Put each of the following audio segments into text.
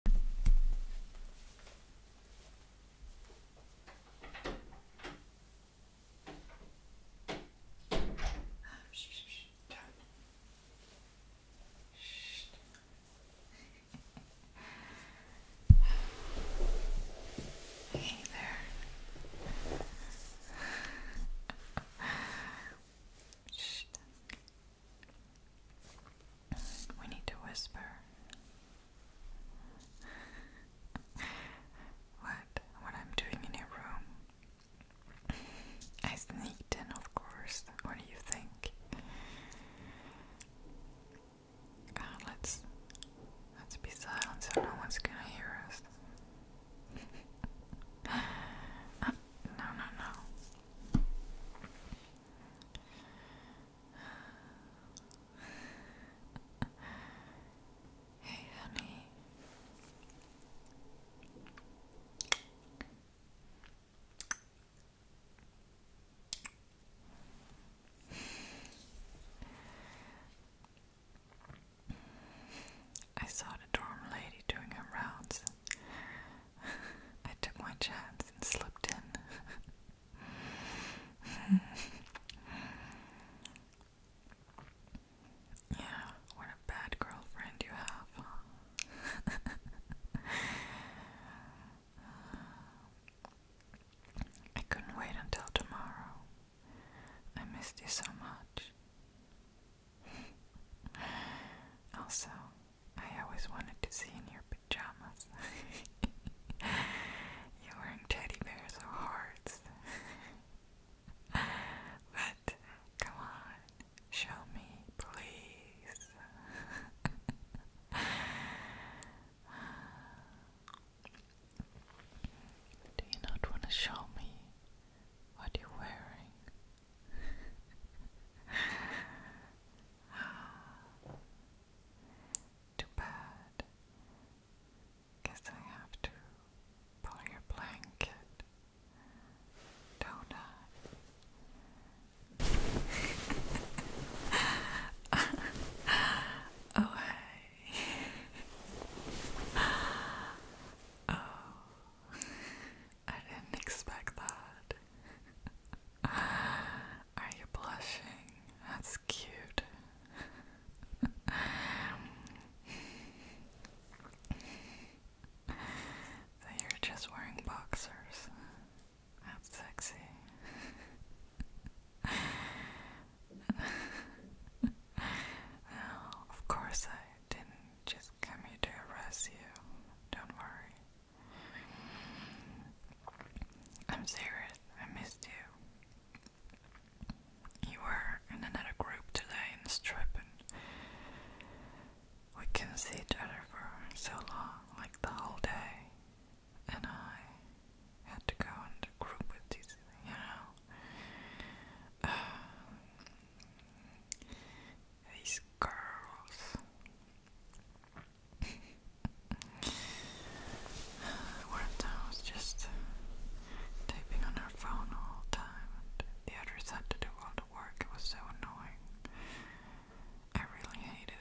Hey there. Shh. We need to whisper. what? What I'm doing in your room? I sneaked in, of course. What do you think? let's let's be silent so no one's gonna hear us. Uh, no, no, no. Hey, honey. I saw the dorm lady doing her rounds. I took my chance and slipped in. yeah, what a bad girlfriend you have, I couldn't wait until tomorrow. I missed you so much also, I always wanted to see in your pajamas. you wearing teddy bears or hearts. but come on, show me, please. Do you not want to show me what you're wearing? oh, too bad. Guess I have to pull your blanket, do oh, oh. I didn't expect that. Are you blushing? That's cute. so you're just wearing boxers. That's sexy. of course I didn't just is coming to arrest Don't worry. I'm serious. I missed you. You were in another group today in the strip, and we could see each other for so long, like the whole day. And I had to go in the group with these, you know. Um, these girls. One of them was just typing on her phone all the time, and the others had to do all the work. It was so annoying. I really hated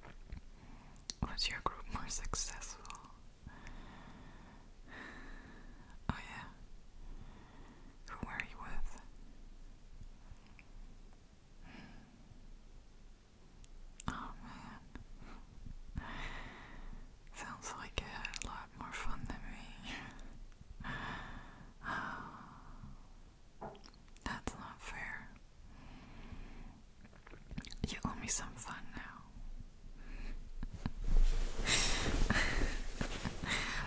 it, Was your group more successful? Oh, yeah. Who were you with? Oh, man. Sounds like you had a lot more fun than me. That's not fair. You owe me some fun now.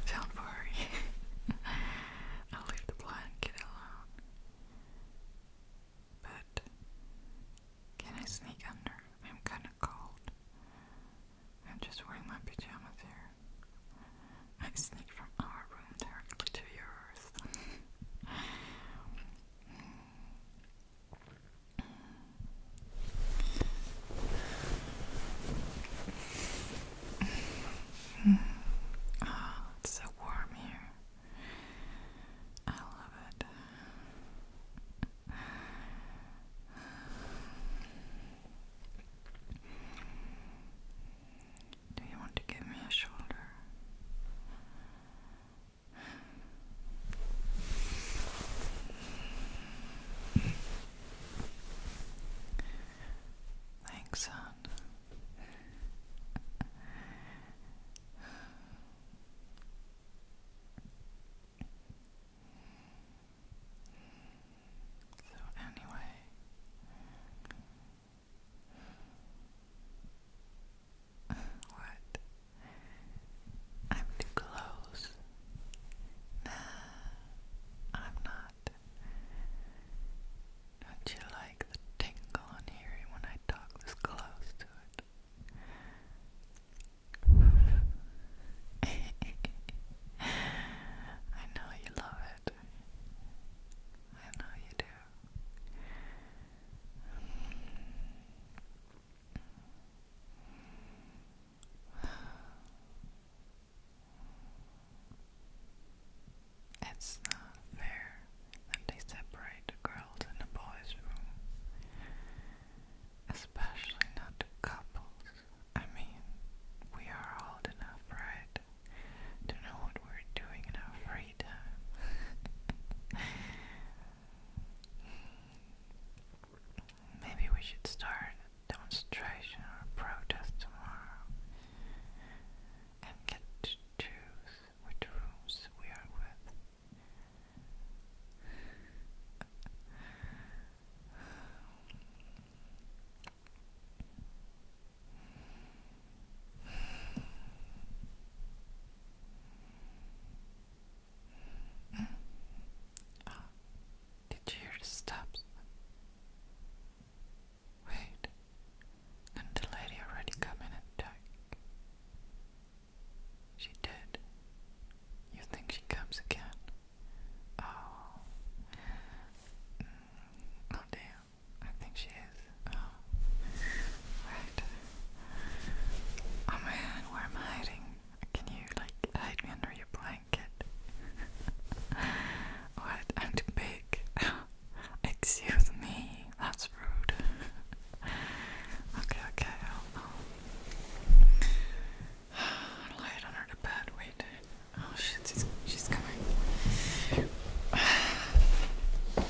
Don't worry. I'll leave the blanket alone. But can I sneak under? I'm kinda cold. I'm just wearing my pajamas here. I sneak from our room directly to yours. Oh, it's so warm here. I love it. Do you want to give me a shoulder? Thanks, son. So, anyway, what? I'm too close. Nah, I'm not. Don't you like the tingle on hearing when I talk this close to it? I know you love it. I know you do. It's not fair that they separate girls in the boys' room, especially not couples. I mean, we are old enough, right, to know what we're doing in our free time. Maybe we should start demonstration or protest tomorrow and get to choose which rooms we are with. Uh, did you hear the steps? Wait, didn't the lady already come in and check? She did. You think she comes again? Oh, damn. Mm, I think she is. Oh. Right. Oh man, where am I hiding? Can you like hide me under your blanket? what? I'm too big. Excuse me, that's rude. okay, okay, I'll, i it under the bed. Wait. Oh shit, she's, she's coming.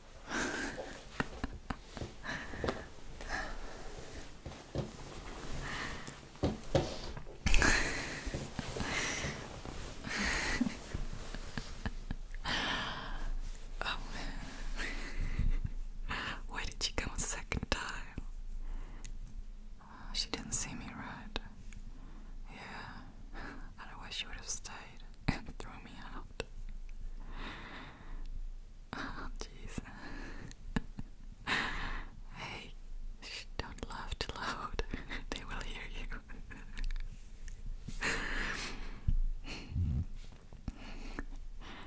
Why did she come a second time? she didn't see me right. Yeah. Otherwise she would have stayed and thrown me out. Oh, jeez. hey, don't laugh too loud. they will hear you.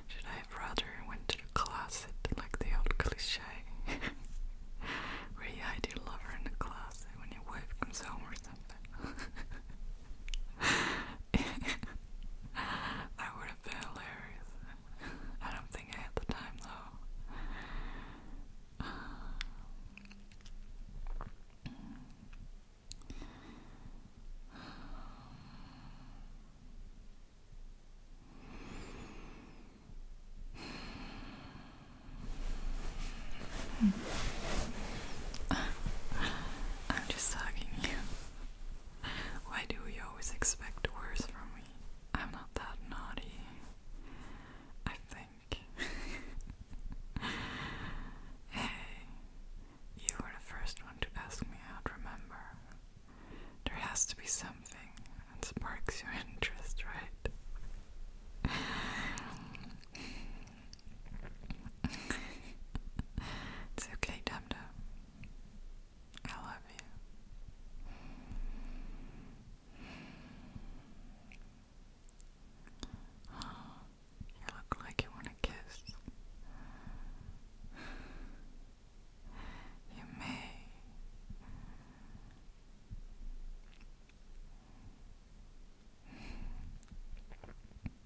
Should I have rather went to the closet like the old cliche? Where you hide your lover in the closet when your wife comes home or something that would have been hilarious. I don't think I had the time though. I'm just hugging you. Why do we always expect worse from me? I'm not that naughty. I think. hey, you were the first one to ask me out, remember? There has to be something that sparks your interest, right? it's okay, Dum I love you. You look like you want a kiss. You may.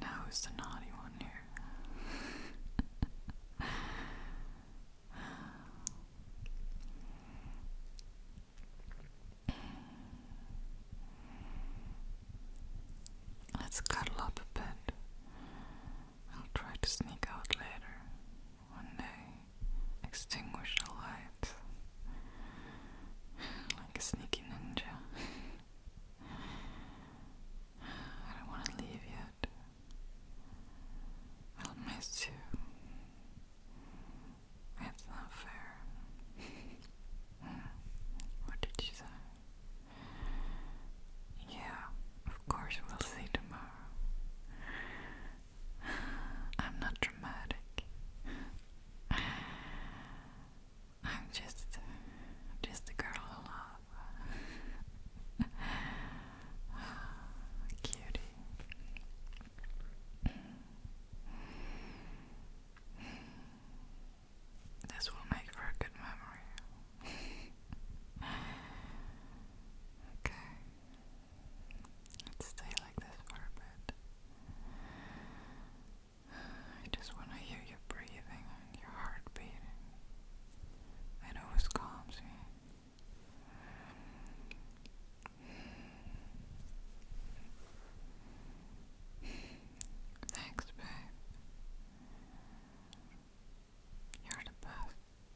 Now who's the naughty one here? Let's cuddle up a bit. I'll try to sneak out later, one day extinguish the lights like a sneaky ninja. I don't want to leave yet. I'll miss you. It's not fair. what did you say? Yeah, of course we'll see tomorrow. I'm not dramatic. I'm just just a girl who loves cutie. This will make for a good memory. okay. Let's stay like this for a bit. I just want to hear you breathing and your heart It always calms me. Thanks, babe. You're the best.